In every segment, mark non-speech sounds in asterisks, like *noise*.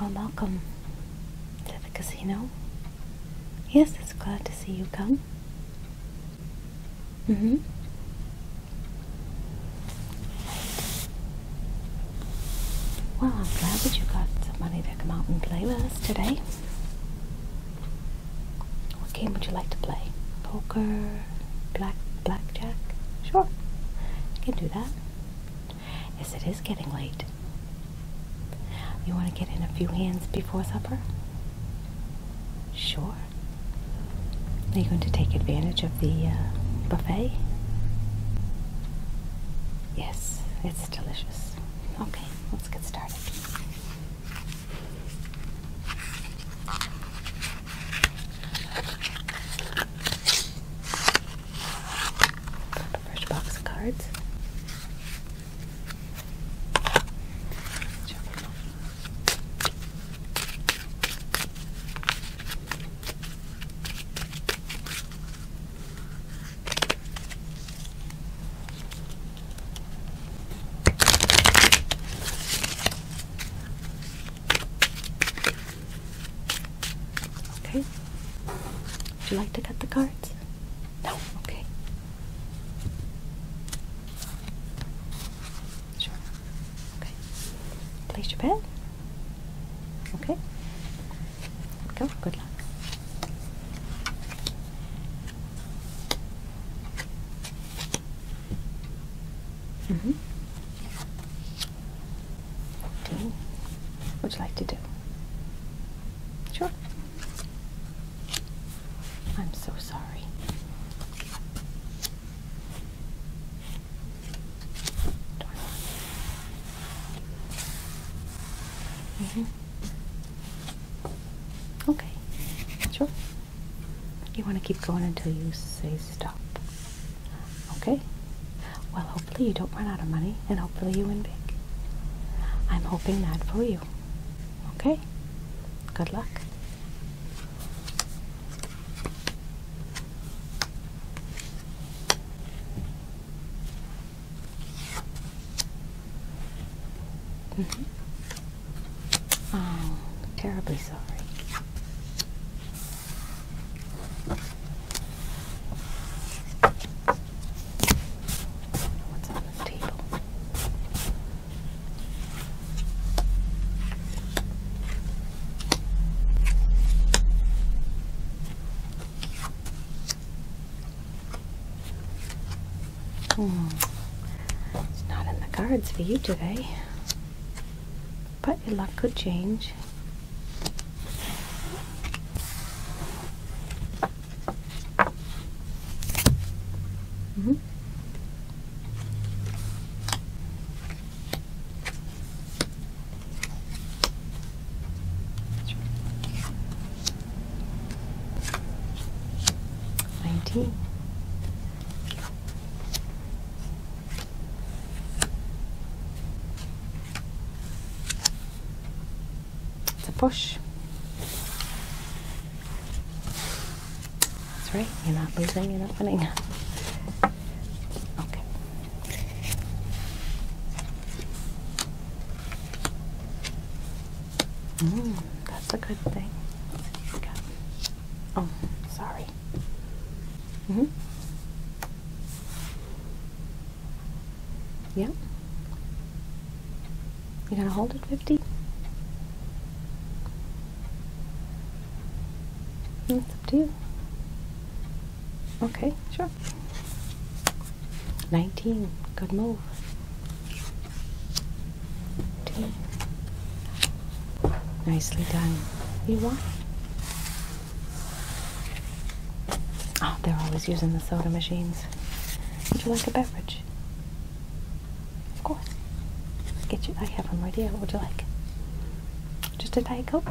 Well, Malcolm, to the casino. Yes, it's glad to see you come. Mm hmm. Well, I'm glad that you got the money come out and play with us today. What game would you like to play? Poker? Black blackjack? Sure, I can do that. Yes, it is getting late. You want to get in a few hands before supper? Sure. Are you going to take advantage of the uh, buffet? Yes, it's delicious. Okay, let's get started. Fresh box of cards. Okay. Would you like to cut the cards? No? Okay. Sure. Okay. Place your bet. Okay. Go. Good luck. Mm-hmm. Do. Would you like to do? Sure. I'm so sorry. Mm -hmm. Okay, sure. You want to keep going until you say stop. Okay? Well, hopefully you don't run out of money and hopefully you win big. I'm hoping that for you. Okay? Good luck. Mm-hmm. Oh, terribly sorry. What's on this table? Hmm. It's not in the cards for you today. But your luck could change. Mm-hmm. Nineteen. It's a push. That's right, you're not losing, you're not winning. Okay. Mm, that's a good thing. Oh, sorry. Mm-hmm. Yeah. You gonna hold it 50? Mm, it's up to you. Okay, sure. 19. Good move. 19. Nicely done. You won. Oh, they're always using the soda machines. Would you like a beverage? Of course. Get you. I have one idea. What would you like? Just a Diet Coke?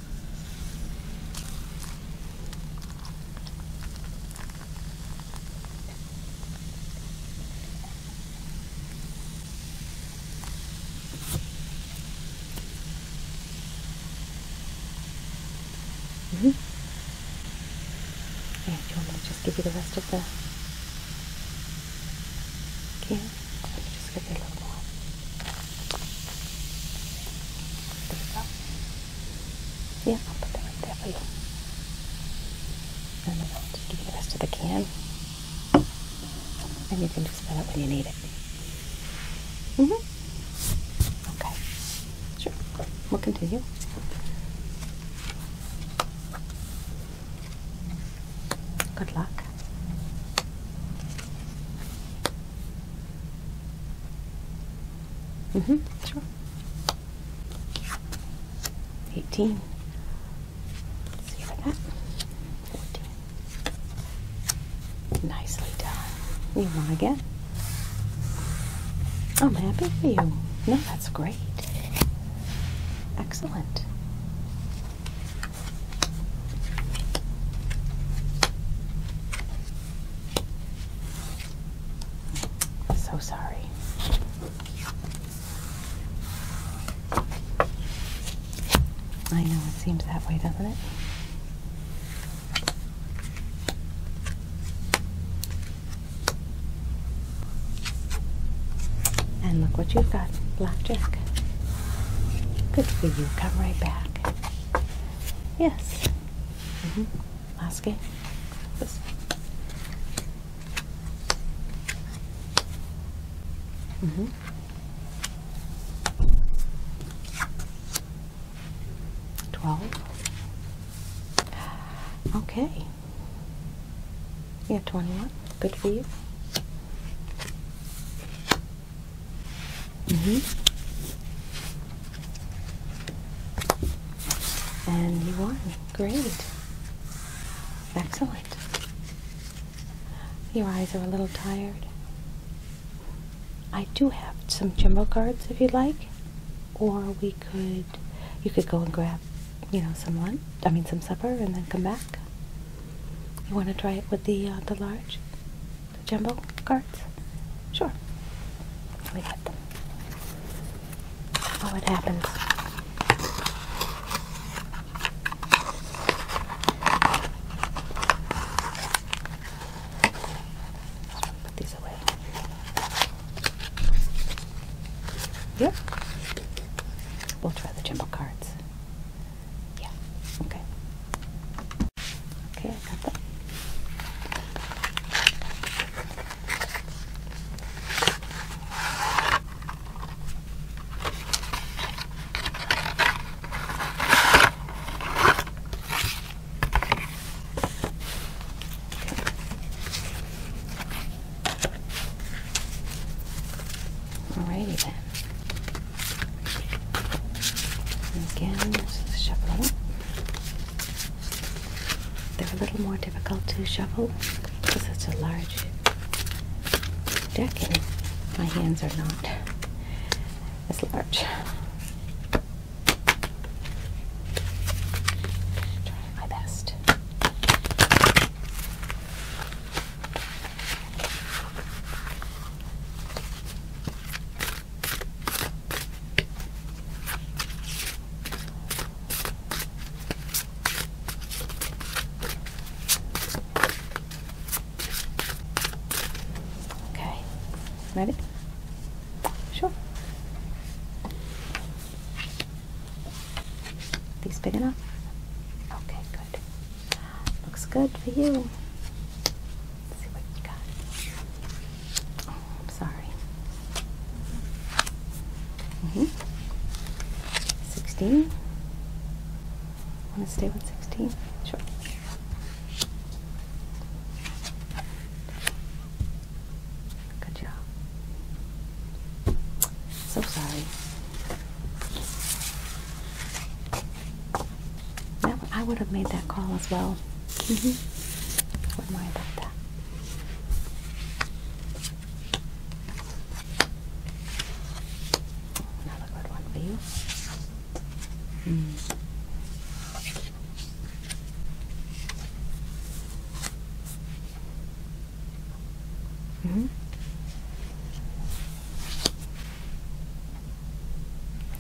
Mm -hmm. Yeah, you want me to just give you the rest of the Okay, Let me just get a little more. Yeah, I'll put that right there for you. And then I'll just give you the rest of the can. And you can just fill it when you need it. Mm hmm Okay. Sure. We'll continue. Good luck. Mm-hmm, sure. 18. see that. 14. Nicely done. You want again? I'm happy for you. No, that's great. Excellent so sorry. I know it seems that way, doesn't it? And look what you've got, blackjack. Good for you. Come right back. Yes. Mhm. Maske. Das. Mhm. Twelve. Okay. Yeah, twenty-one. Good for you. Mm -hmm. And you won. Great. Excellent. Your eyes are a little tired. I do have some jumbo cards if you'd like. Or we could you could go and grab, you know, some lunch I mean some supper and then come back. You want to try it with the uh, the large? jumbo cards? Sure. We got them. Oh, it happens. Put these away. Yep. We'll try the jumbo cards. Yeah. Okay. Okay, I got that. Alrighty then. And again, just shuffle them up. They're a little more difficult to shuffle because it's a large deck and my hands are not as large. Trying my best. Okay, maybe? Sure. These big enough? Okay, Good. Looks good for you. see what you got. Oh, I'm sorry. -hmm. 16. Want to stay with 16? Sure. Good job. So sorry. I would have made that call as well. Mm -hmm. I about that. Another good one for you. Mm. -hmm.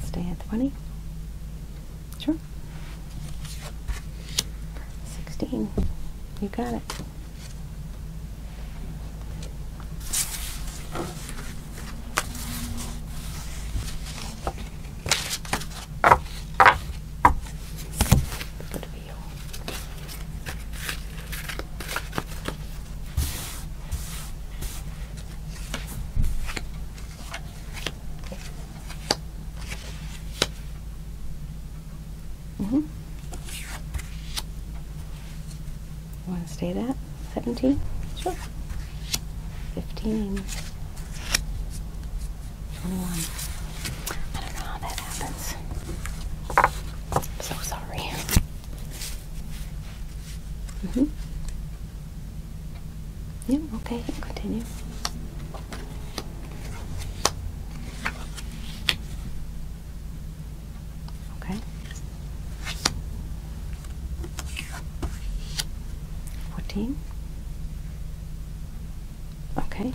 Stay at 20. Sure. 16. You got it. Good for you. Mm-hmm. Want to stay that? 17? Sure. 15. 21. I don't know how that happens. so sorry. Mm -hmm. Yeah, okay, continue. Okay. Fourteen. Okay.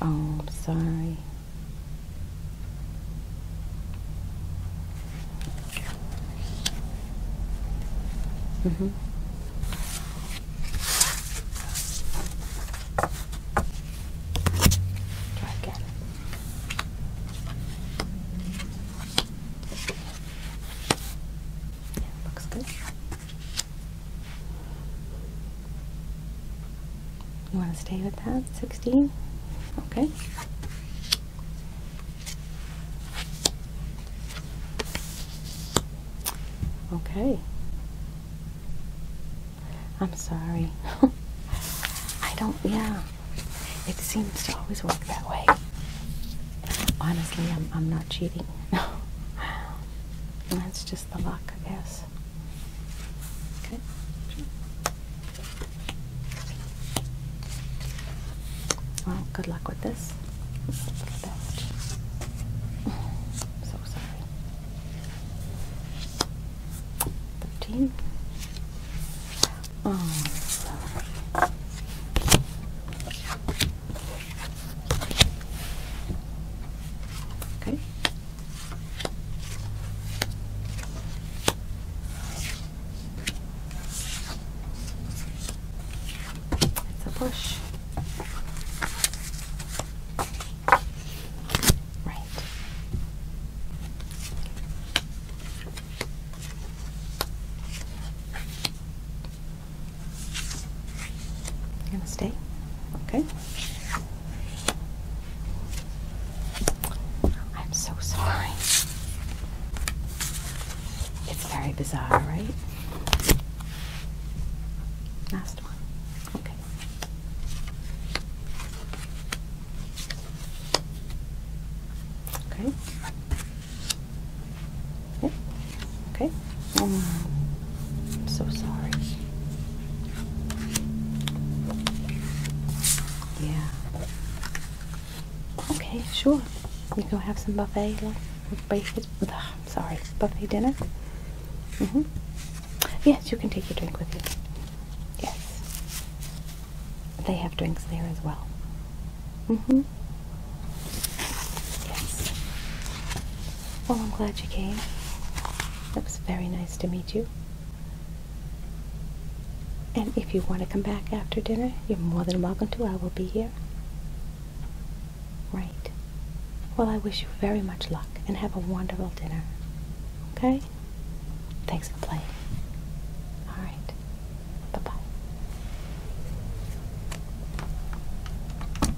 Oh, I'm sorry. Mm-hmm. Try again. Yeah, looks good. You want to stay with that? 16? Okay. Okay. I'm sorry. *laughs* I don't, yeah. It seems to always work that way. Honestly, I'm, I'm not cheating. *laughs* That's just the luck, I guess. Okay. Well, good luck with this. So sorry. Thirteen. Oh, okay. It's a push. Right. You're gonna stay? Okay. I'm so sorry. It's very bizarre, right? Last one. Okay. Okay. Okay. Oh, I'm so sorry. Yeah. Okay, sure. We go have some buffet, like Ugh, i sorry, buffet dinner. Mhm. yes, you can take your drink with you. Yes. They have drinks there as well. Mhm. Well, I'm glad you came. It was very nice to meet you. And if you want to come back after dinner, you're more than welcome to. I will be here. Right. Well, I wish you very much luck and have a wonderful dinner. Okay? Thanks for playing. All right. Bye-bye.